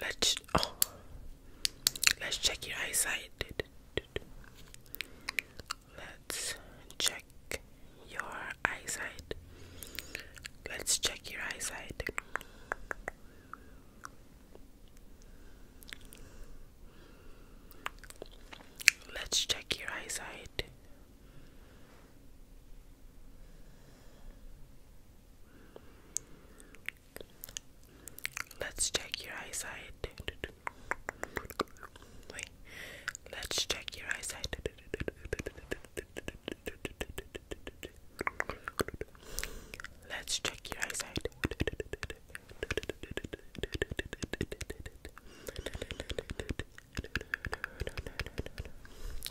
Let's oh, let's check your eyesight. Let's check your eyesight. Let's check your eyesight. Let's check your eyesight. Let's check your eyesight. Let's check your eyesight. Let's check your eyesight.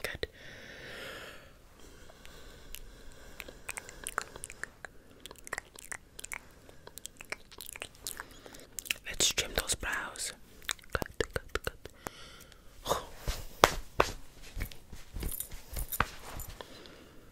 Good. Let's trim those brows. Cut, cut, cut.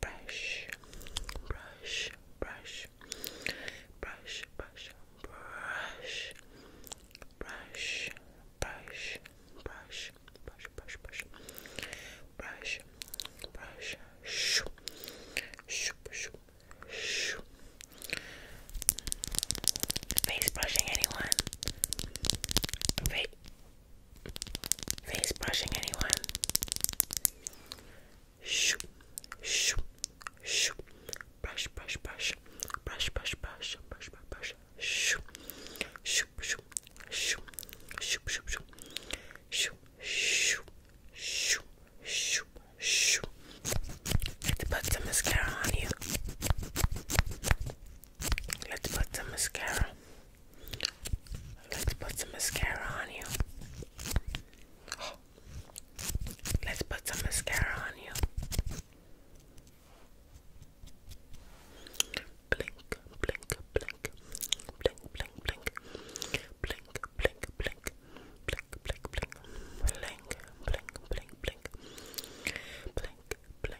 brush, brush, brush, brush, brush, brush, brush, brush, brush, brush, brush, brush, brush, brush, shoop, shoop, shoop, shoop. Face brushing anyone? Face face brushing anyone. Shoo, shoo, shoo. Brush, brush, brush. Brush, brush, brush. Brush, brush, brush. Shoo, shoo, shoo, shoo, shoo, shoo, shoo, shoo, shoo, shoo, Let's put some mascara on you. Let's put some mascara. Let's put some mascara on you. Let's put some mascara on you. blink, blink, blink, blink, blink, blink, blink, blink, blink, blink, blink, blink, blink, blink, blink, blink, blink, blink, blink,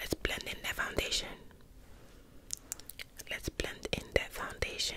Let's blend in the foundation. Let's blend in the foundation.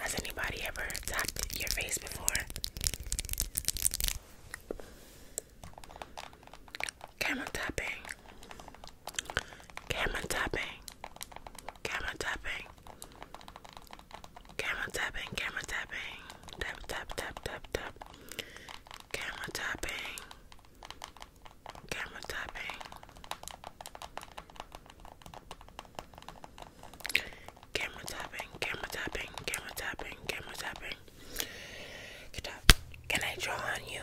Has anybody ever tapped your face before? Camera tapping. Camera tapping. Camera tapping. Camera tapping. Camera tapping. Tap tap tap tap tap. Camera tapping. Camera tapping. Camera tapping, camera tapping, camera tapping, camera tapping. Can I draw on you?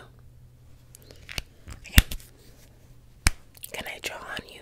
Can I draw on you?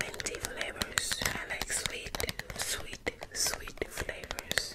minty flavors. I like sweet, sweet, sweet flavors.